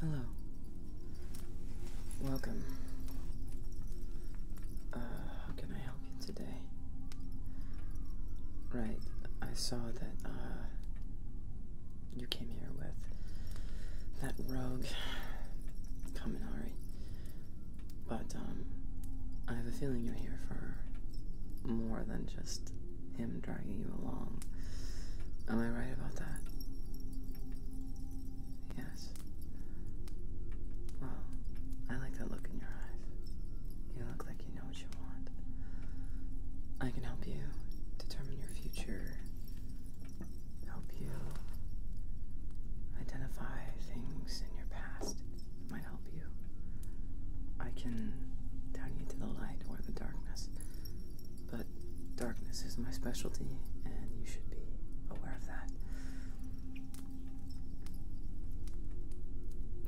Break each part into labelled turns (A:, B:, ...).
A: Hello. Welcome. Uh, how can I help you today? Right, I saw that, uh, you came here with that rogue, Kaminari. But, um, I have a feeling you're here for more than just him dragging you along. Am I right about that? Yes. Well, I like that look in your eyes. You look like you know what you want. I can help you determine your future, help you identify things in your past might help you. I can turn you to the light or the darkness. But darkness is my specialty, and you should be aware of that.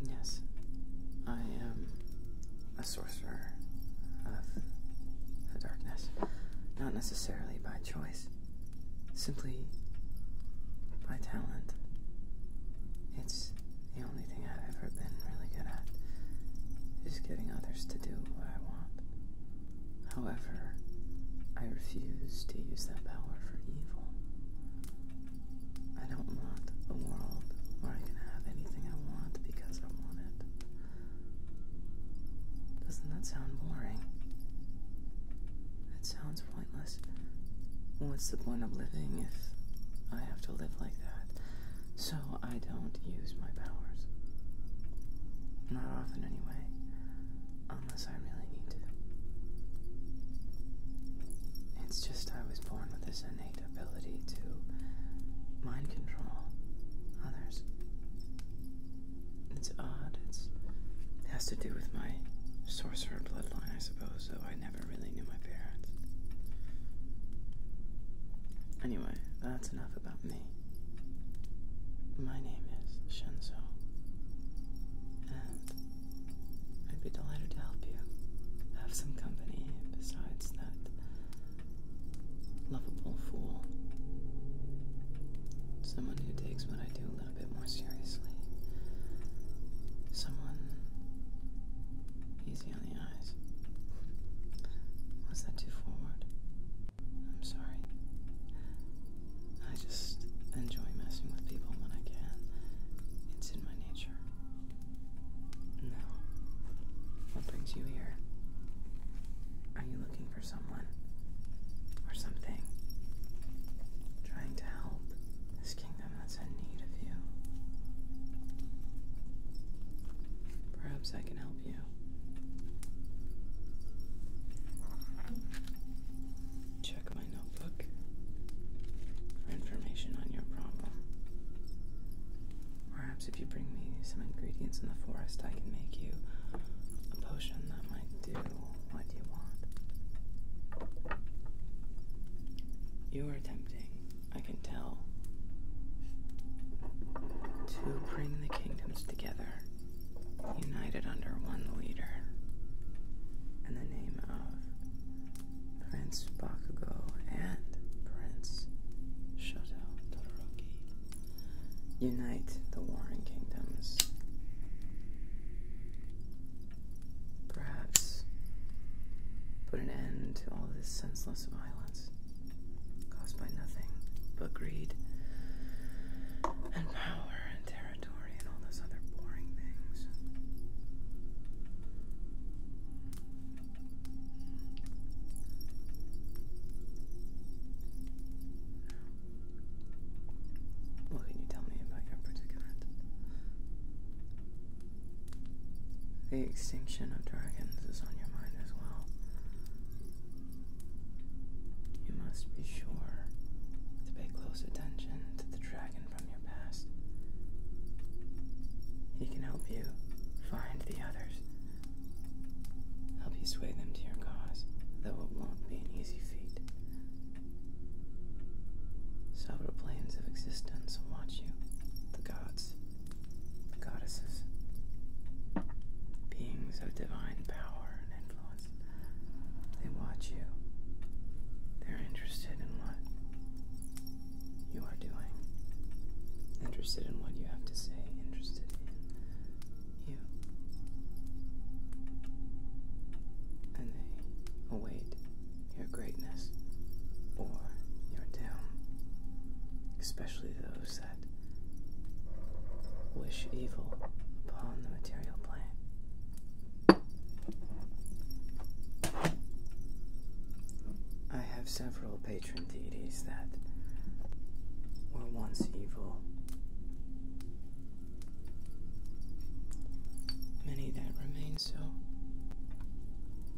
A: Yes, I am a sorcerer of the darkness. Not necessarily by choice, simply by talent. It's the only thing I've ever been really good at is getting others to do what I want. However, I refuse to use that power for evil. I don't want a world where I can have anything I want because I want it. Doesn't that sound boring? It sounds pointless. What's the point of living if I have to live like that? so I don't use my powers. Not often, anyway, unless I really need to. It's just I was born with this innate ability to mind control others. It's odd. It's, it has to do with my sorcerer bloodline, I suppose, though I never really knew my parents. Anyway, that's enough about me. My name is Shenzo, and I'd be delighted to help you have some company besides that lovable fool. Someone who takes what I do a little bit more seriously. Someone Easy on the eyes. Was that too forward? I'm sorry. I just enjoy messing with people when I can. It's in my nature. Now, what brings you here? Are you looking for someone? Or something? Trying to help this kingdom? them that's in need of you. Perhaps I can help you. Check my notebook for information on your problem. Perhaps if you bring me some ingredients in the forest, I can make you a potion that might do what you want. You are tempting I can tell, to bring the kingdoms together, united under one leader, in the name of Prince Bakugo and Prince Shoto Todoroki. Unite the warring kingdoms. Perhaps put an end to all this senseless violence caused by nothing but greed and power and territory and all those other boring things. What can you tell me about your predicament? The extinction of dragons is on your mind as well. You must be sure to pay close attention to the dragon from your past. He can help you find the others, help you sway them to your cause, though it won't be an easy feat. Several planes of existence will watch you the gods, the goddesses, beings of divine power and influence. They watch you. They're interested in what you are doing, interested in what you have to say, interested in you. And they await your greatness or your doom, especially those that wish evil upon the material plane. I have several patron deities that were once evil. Many that remain so.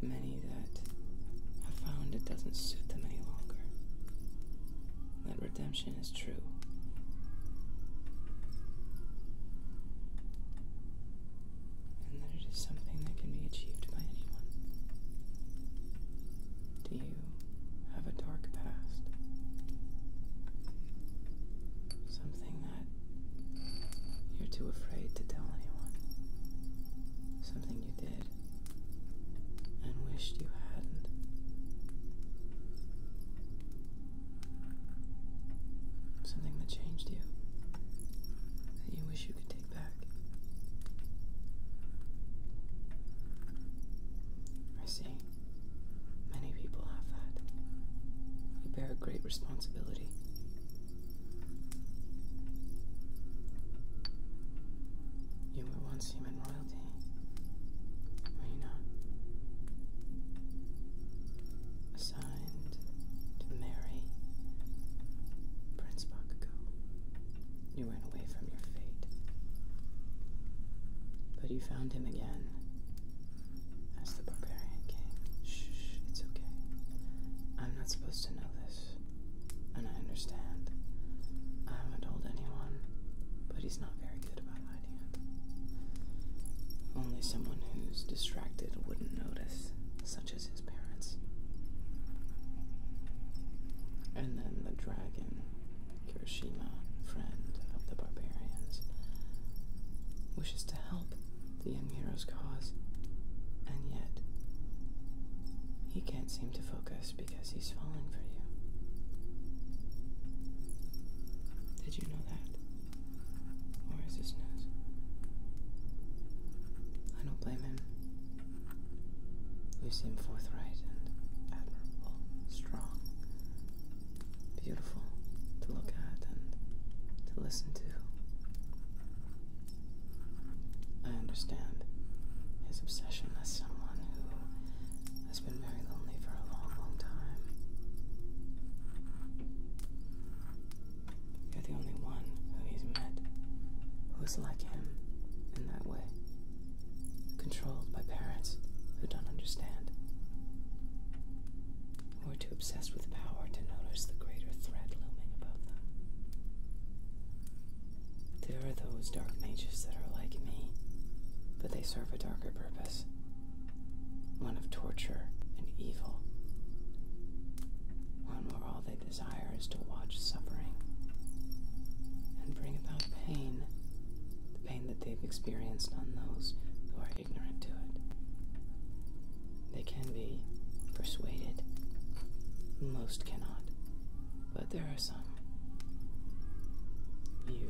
A: Many that have found it doesn't suit them any longer. That redemption is true. And that it is something that can be achieved by anyone. Do you have a dark past? Something that you're too afraid to tell anyone something you did and wished you hadn't. Something that changed you, that you wish you could take back. I see. Many people have that. You bear a great responsibility you were once human royalty, were you not? Assigned to marry Prince Bakugo. You ran away from your fate. But you found him again asked the barbarian king. Shh, it's okay. I'm not supposed to know this, and I understand. I haven't told anyone, but he's not very good about hiding it. Only someone who's distracted wouldn't notice, such as his parents. And then the dragon, Kirishima, friend of the barbarians, wishes to help the young cause, and yet he can't seem to focus because he's falling for you. Did you know that? Or is this news? I don't blame him. You seem forthright and admirable, strong, beautiful to look at and to listen to. I understand his obsession as someone who has been very lonely for a long, long time. You're the only one who he's met who is like him in that way, controlled by parents who don't understand who were too obsessed with power to notice the greater threat looming above them. There are those dark mages that are like me, but they serve a darker purpose one of torture and evil, one where all they desire is to watch suffering and bring about pain, the pain that they've experienced on those who are ignorant to it. They can be persuaded. Most cannot, but there are some. You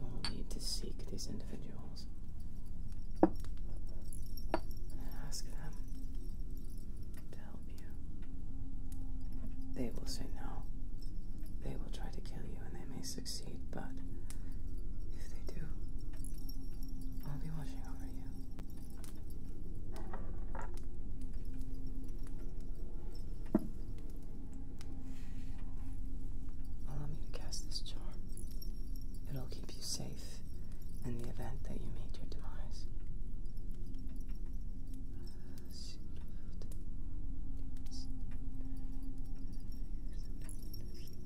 A: will need to seek these individuals and ask them to help you. They will say no. They will try to kill you, and they may say, succeed, but if they do, I'll be watching over you. Allow me to cast this charm. It'll keep you safe in the event that you meet your demise.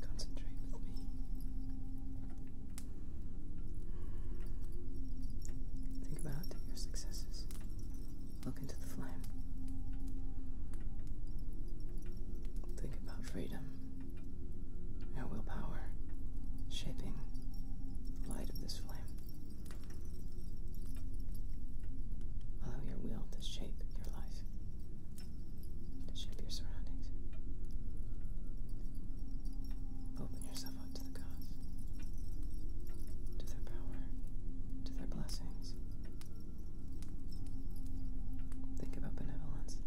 A: Concentrate with me. Think about your successes. Look into the flame. Think about freedom, our willpower, shaping the light of this flame. Allow your will to shape shape your life, shape your surroundings. Open yourself up to the gods, to their power, to their blessings. Think about benevolence and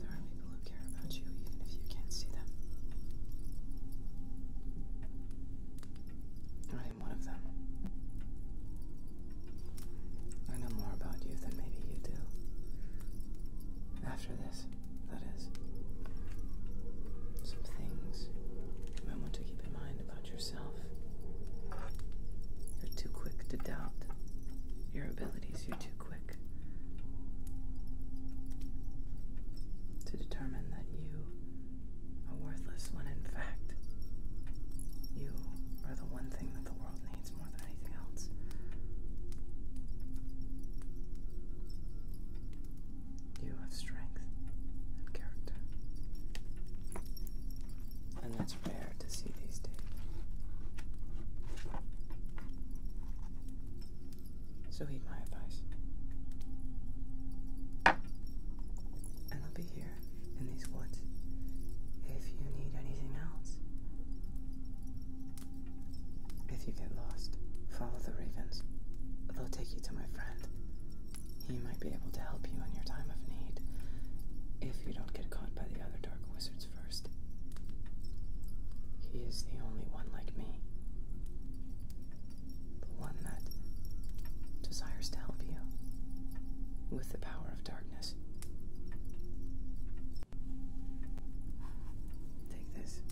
A: there are people who care about you even if you can't see them. Or I am one of them. I know more about you than maybe you do. After this, that is. Some things you might want to keep in mind about yourself. You're too quick to doubt your abilities, you're too quick to determine that you a worthless one, in fact. You are the one thing that the world needs more than anything else. You have strength and character. And that's rare to see these days. So heed my advice and I'll be here in these woods if you need anything else. If you get lost, follow the ravens. They'll take you to my friend. He might be able to help you in your time of need if you don't get caught by the other dark wizards first. He is the only one like me the one that desires to help you with the power of darkness. Take this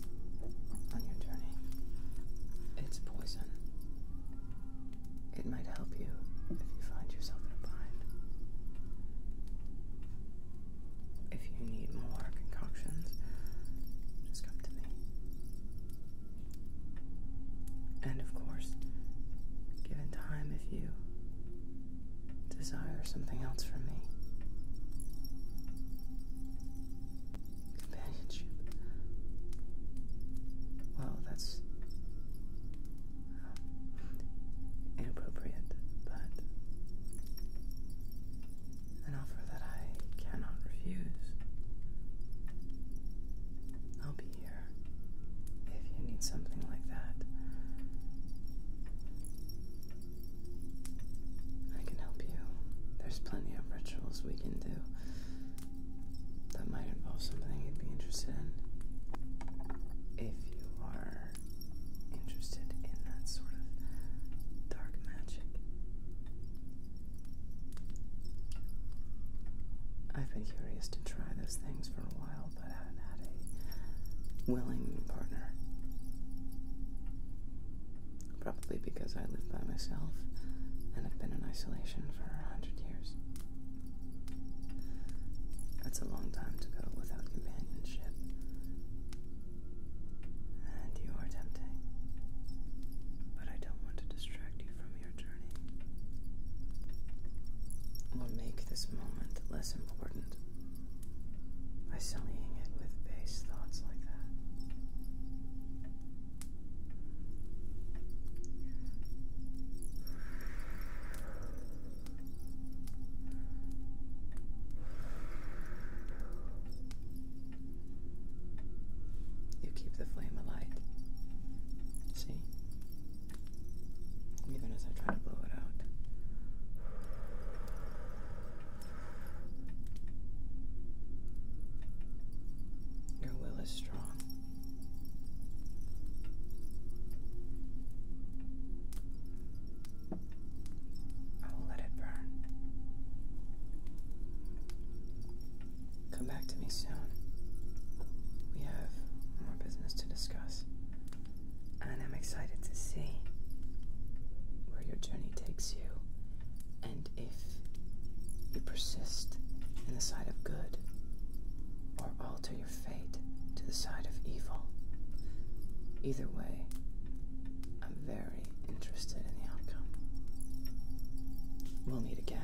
A: on your journey. It's poison. It might help you if you find yourself in a bind. If you need more concoctions, just come to me. And of course, given time, if you desire something else from me, companionship. Well, that's uh, inappropriate, but an offer that I cannot refuse. I'll be here if you need something like that. I can help you. There's plenty of rituals we can do that might involve something you'd be interested in. If you are interested in that sort of dark magic, I've been curious to try those things for a while, but I haven't had a willing partner. Probably because I live by myself and have been in isolation for a hundred years. That's a long time to go without companionship. And you are tempting. But I don't want to distract you from your journey will make this moment less important by sullying it with base thoughts like that. You keep the flame alight. See? Even as I try to blow it out. Your will is strong. I will let it burn. Come back to me soon. We have more business to discuss. And I'm excited to see where your journey takes you. And if you persist in the side of good, or alter your fate to the side of evil. Either way, I'm very interested in the outcome. We'll meet again.